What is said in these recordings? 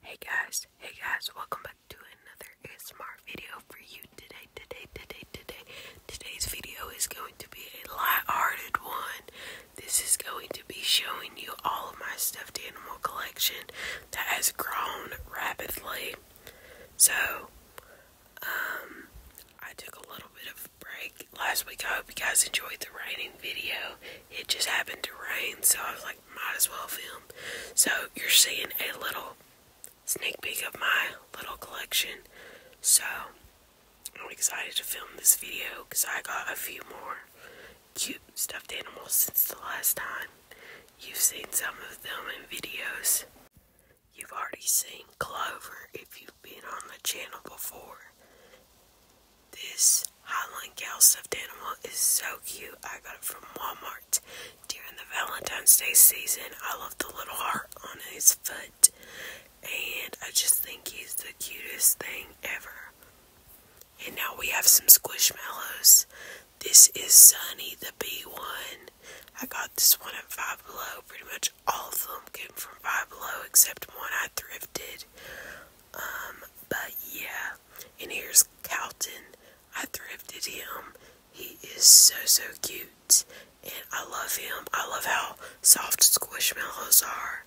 Hey guys, hey guys, welcome back to another ASMR video for you today, today, today, today. Today's video is going to be a light-hearted one. This is going to be showing you all of my stuffed animal collection that has grown rapidly. So, um, I took a little bit of a break last week. I hope you guys enjoyed the raining video. It just happened to rain, so I was like, might as well film. So you're seeing a little sneak peek of my little collection. So I'm excited to film this video because I got a few more cute stuffed animals since the last time. You've seen some of them in videos. You've already seen Clover if you've been on the channel before. This Highland Gal stuffed animal is so cute. I got it from Walmart during the Valentine's Day season. I love the little heart on his foot, and I just think he's the cutest thing ever. And now we have some Squishmallows. This is Sunny the b one. I got this one at Five Below. Pretty much all of them came from Five Below except one I thrifted. Um, but yeah, and here's Calton. I thrifted him. He is so so cute, and I love him. I love how soft squishmallows are.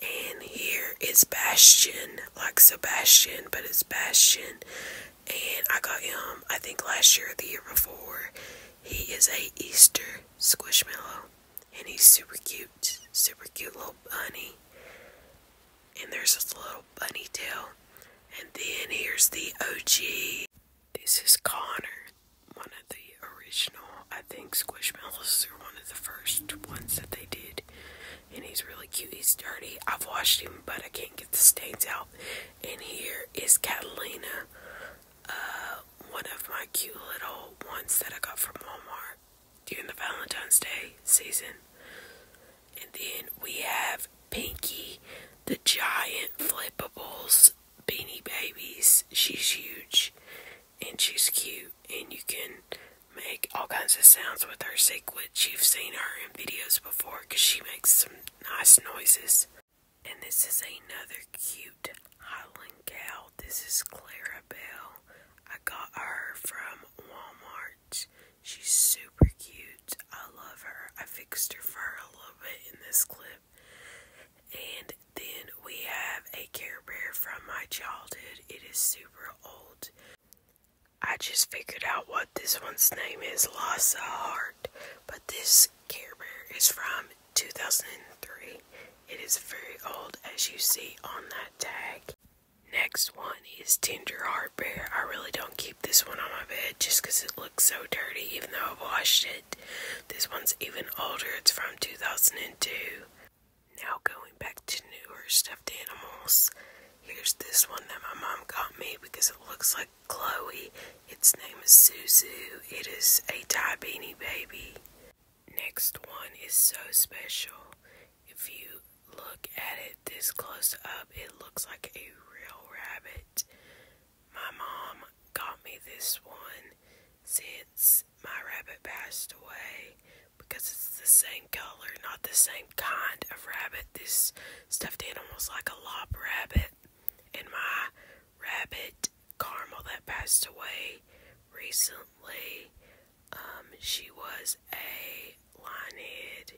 And here is Bastion, like Sebastian, but it's Bastion. And I got him, I think last year or the year before. He is a Easter squishmallow and he's super cute, super cute little bunny. And there's his little bunny tail. And then here's the OG. This is Connor, one of the original, I think Squishmallows are one of the first ones that they did. And he's really cute. He's dirty. I've washed him, but I can't get the stains out. And here is Catalina, uh, one of my cute little ones that I got from Walmart during the Valentine's Day season. And then we have Pinky, the giant flippables beanie babies. She's huge and she's cute, and you can make all kinds of sounds with her sequence. You've seen her in videos before because she makes some nice noises. And this is another cute Highland cow. This is Clara. Mirabelle. I got her from Walmart. She's super cute. I love her. I fixed her fur a little bit in this clip. And then we have a Care Bear from my childhood. It is super old. I just figured out what this one's name is, Lhasa Heart. But this Care Bear is from 2003. It is very old as you see on that tag. Next one is Tender Heart Bear. I really don't keep this one on my bed just because it looks so dirty even though I've washed it. This one's even older. It's from 2002. Now going back to newer stuffed animals. Here's this one that my mom got me because it looks like Chloe. Its name is Suzu. It is a Thai beanie baby. Next one is so special. If you look at it this close up, it looks like a real rabbit. My mom got me this one since my rabbit passed away because it's the same color, not the same kind of rabbit. This stuffed animal is like a lop rabbit, and my rabbit Carmel that passed away recently. Um, she was a linehead,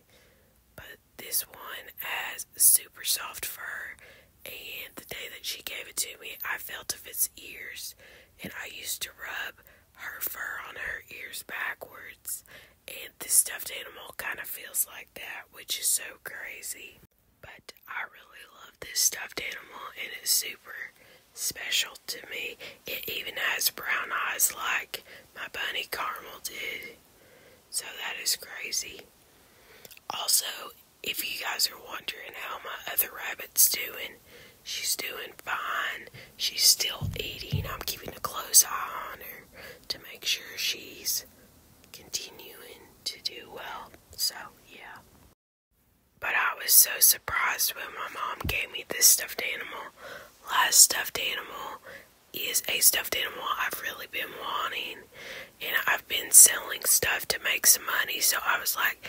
but this one has super soft fur. And the day that she gave it to me, I felt of its ears, and I used to rub her fur on her ears backwards. And this stuffed animal kind of feels like that, which is so crazy. But I really love this stuffed animal and it's super special to me. It even has brown eyes like my bunny caramel did. So that is crazy. Also, if you guys are wondering how my other rabbit's doing, she's doing fine. She's still eating. I'm keeping a close eye on her to make sure she's continuing to do well. So, yeah. But I was so surprised when my mom gave me this stuffed animal. Last stuffed animal is a stuffed animal I've really been wanting. And I've been selling stuff to make some money. So I was like,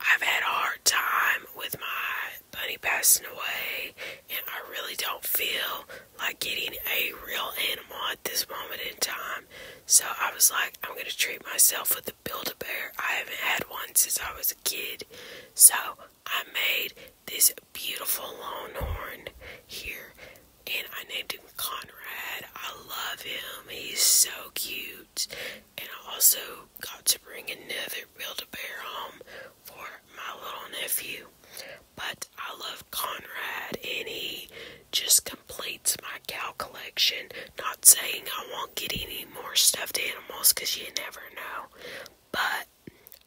I've had a hard time with my bunny passing away. And I really don't feel like getting a real animal at this moment in time. So I was like, I'm gonna treat myself with a Build-A-Bear. I haven't had one since I was a kid. So I made this beautiful longhorn here and I named him Conrad. I love him. He's so cute. And I also got to bring another Build-A-Bear home for my little nephew. But I love Conrad and he just completes my cow collection. Not saying I won't get any more stuffed animals because you never know. But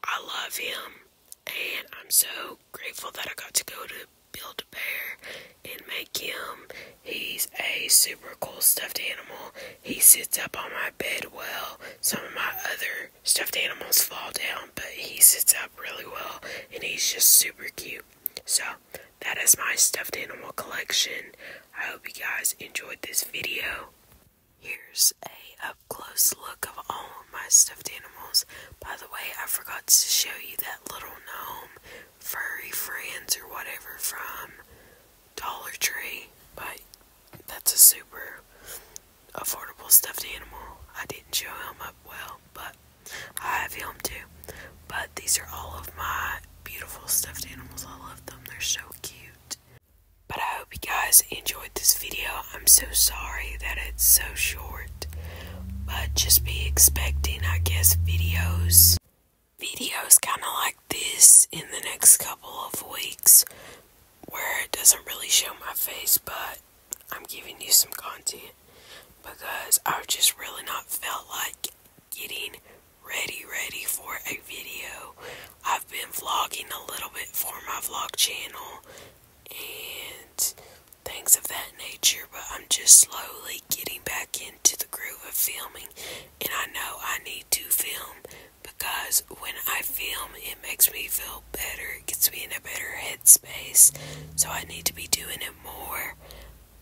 I love him and I'm so grateful that I got to go to Build a Bear and make him. He's a super cool stuffed animal. He sits up on my bed well. Some of my other stuffed animals fall down um, but he sits up really well and he's just super cute. So that is my stuffed animal collection. I hope you guys enjoyed this video. Here's a up close look of all my stuffed animals. By the way, I forgot to show you that little gnome furry friends or whatever from Dollar Tree, but that's a super affordable stuffed animal. I didn't show him up well, but I have him too. But these are all of my beautiful stuffed animals. I love them. They're so cute. But I hope you guys enjoyed this video. I'm so sorry that it's so short. But just be expecting, I guess, videos. Videos kind of like this in the next couple of weeks. Where it doesn't really show my face, but I'm giving you some content because I've just really not felt like getting ready ready for a video. I've been vlogging a little bit for my vlog channel and things of that nature, but I'm just slowly getting back into the groove of filming and I know I need to film because when I film it makes me feel better, it gets me in a better headspace, so I need to be doing it more.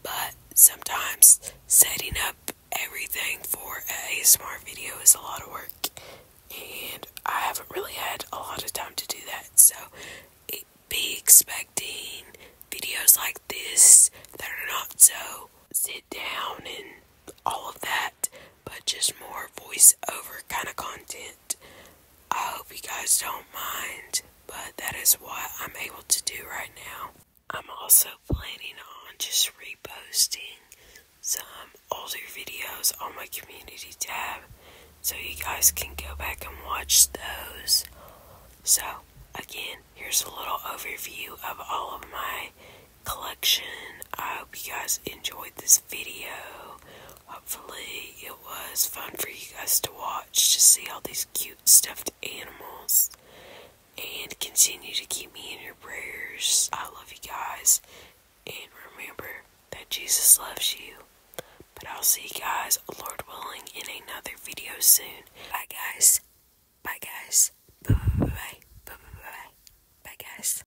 But sometimes setting up everything for a smart video is a lot of work, and I haven't really had a lot of time to do that, so be expecting videos like this that are not so sit down and all of that but just more voiceover kind of content. I hope you guys don't mind, but that is what I'm able to do right now. I'm also planning on just reposting some older videos on my community tab so you guys can go back and watch those. So, again, here's a little overview of all of my collection. I hope you guys enjoyed this video. Hopefully, it was fun for you guys to watch to see all these cute stuffed animals. And continue to keep me in your prayers. I love you guys. And remember that Jesus loves you. But I'll see you guys, Lord willing, in another video soon. Bye, guys. Bye, guys. Bye, bye, bye, bye, bye, bye, bye, guys.